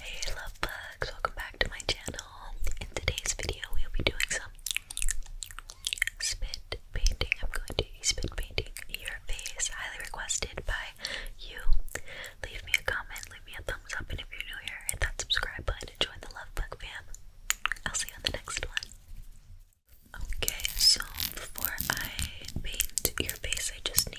Hey love bugs, welcome back to my channel. In today's video we'll be doing some spit painting. I'm going to be spit painting your face, highly requested by you. Leave me a comment, leave me a thumbs up, and if you're new here, hit that subscribe button and join the love bug fam. I'll see you on the next one. Okay, so before I paint your face, I just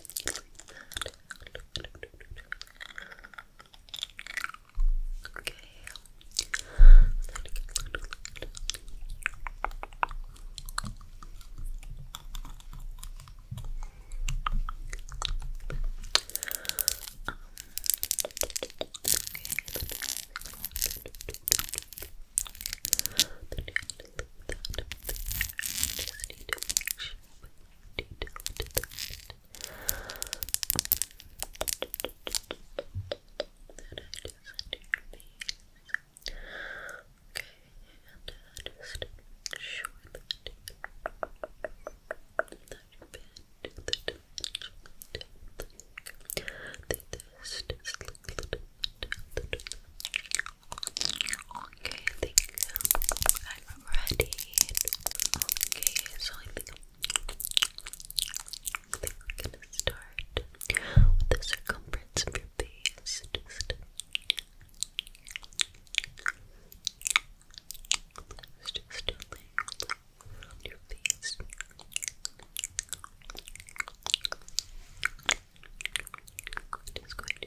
that. Okay. Um, okay that up there. Just need to make sure we detail to that. That I just under your face. Okay, and uh, just make sure that that your bed, the dimension, the test is a little Okay, I think I'm ready. Okay, so I think, we're gonna start with the circumference of your face. Just just do your face. Just going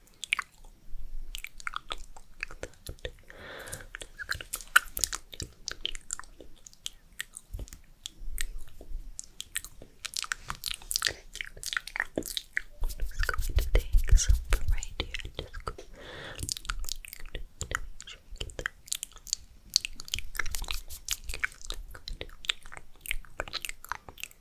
to take some from right here and just go sure get that. Okay,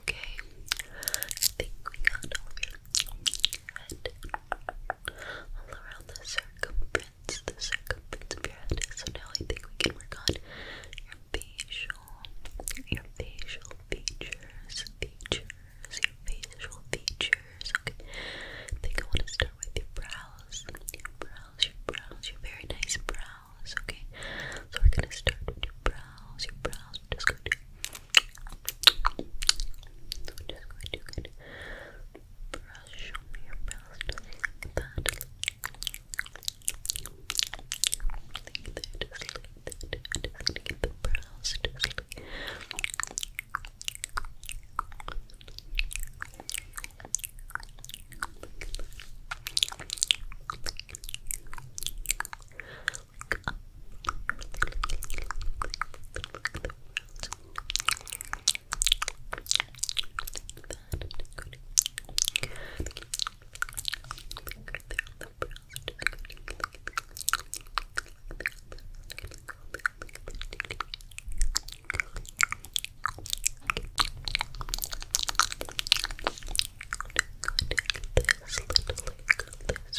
Okay, I think we got all of your all around the circumference, the circumference of your head. So now I think we can work on your facial, your facial features, features, your facial features. Okay, think I want to start with your brows, your brows, your brows, your very nice brows. Okay, so we're gonna start with your brows, your brows. We're just going to So I'm just going to kind of brush over your brows like that. Like that, just like that. just gonna the brows just like Look up. Look at the Look at this little, look at this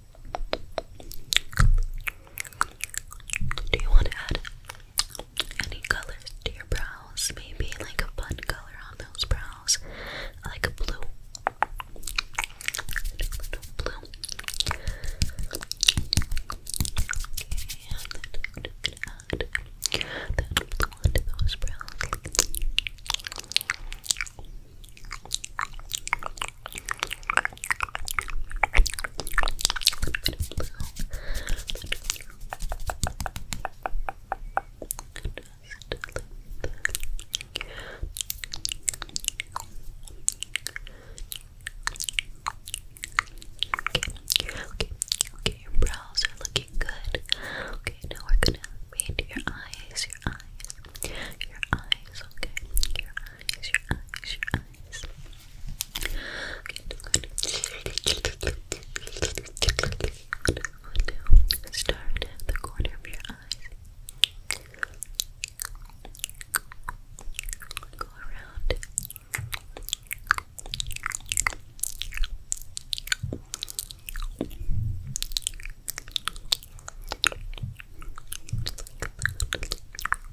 Do you want to add any colors to your brows? Maybe like a fun color on those brows, like a blue. A little blue. Okay, and then I'm gonna add that onto those brows. Okay, okay, okay, your brows are looking good. Okay, now we're gonna paint your eyes, your eyes, your eyes, okay, your eyes, your eyes, your eyes eyes. Good. start at the corner of your eyes. Go around.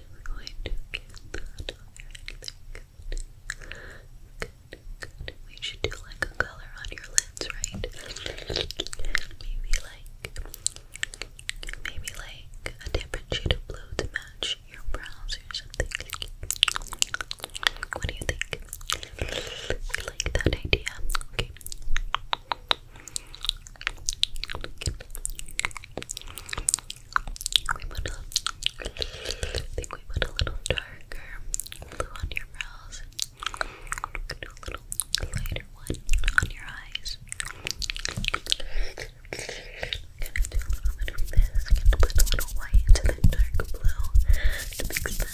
We should do like a color on your lids, right? Maybe like, maybe like a different shade of blue to match your brows or something. What do you think? You like that idea? Okay we went think we went a little darker blue on your brows. gonna do a little lighter one on your eyes. gonna do a little bit of this. gonna put a little white to the dark blue to that up.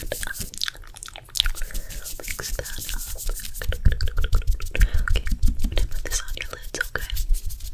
Mix that up. Okay, gonna put this on your lids, okay?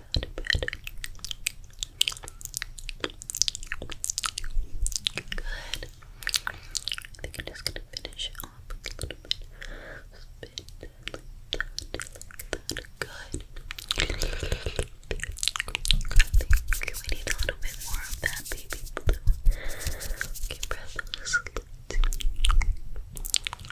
Good. I think I'm just gonna finish off with a little bit of spit like that, like that. Good. I we need a little bit more of that baby blue. Okay, breath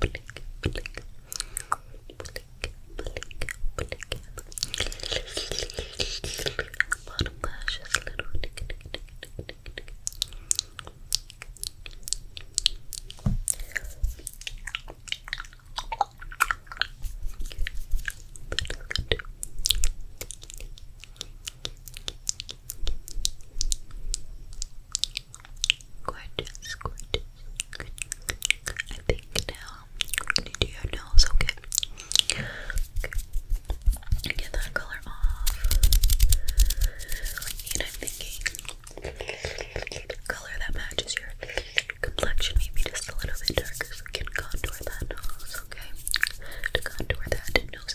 blink, blink, blink, blink, blink. Bottom lashes, little tick, tick, tick, tick, tick, tick. Good. Gorgeous, gorgeous. Good. I think now I'm gonna do your nose, okay? okay? Get that color off. And I'm thinking color that matches your complexion, maybe just a little bit darker, so we can contour that nose, okay? To contour that nose.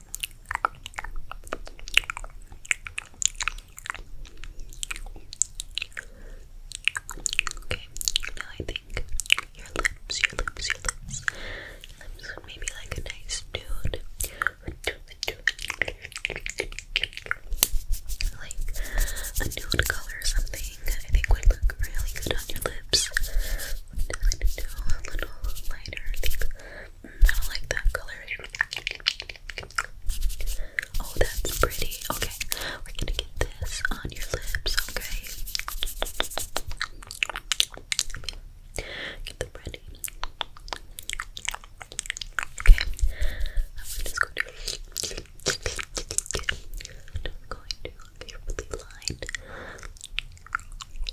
now I think your lips, your lips, your lips, lips maybe like a nice dude. Like a nude color or something, I think would look really good on your lips. What do I do? A little lighter, I like that color. Oh, that's pretty. Okay, we're gonna get this on your lips, okay? Get the pretty. Okay, I'm just going to. And i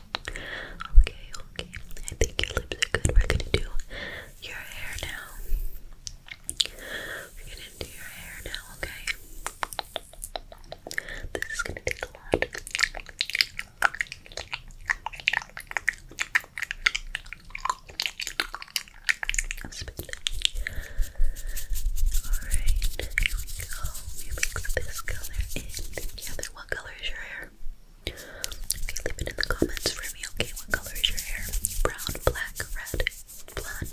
Okay, okay. I think your lips are good. We're gonna do your hair now. We're gonna do your hair now, okay? This is gonna take a lot. Alright, here we go. You mix this color in together what color is your hair. Okay, leave it in the comments for me, okay? What color is your hair? Brown, black, red, blonde.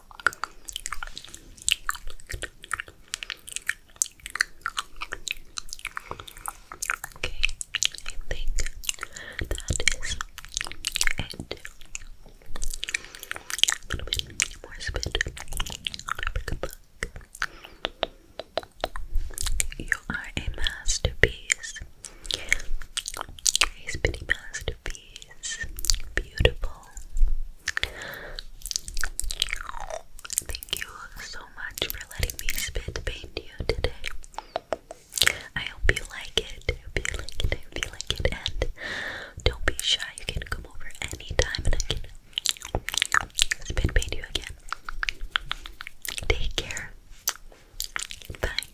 I think that is it. A little bit more spit. You are a masterpiece. A spitty masterpiece these beautiful. Thank you so much for letting me spit paint you today. I hope you like it. I hope you like it. I hope you like it. And don't be shy. You can come over anytime and I can spit paint you again. Take care. Bye.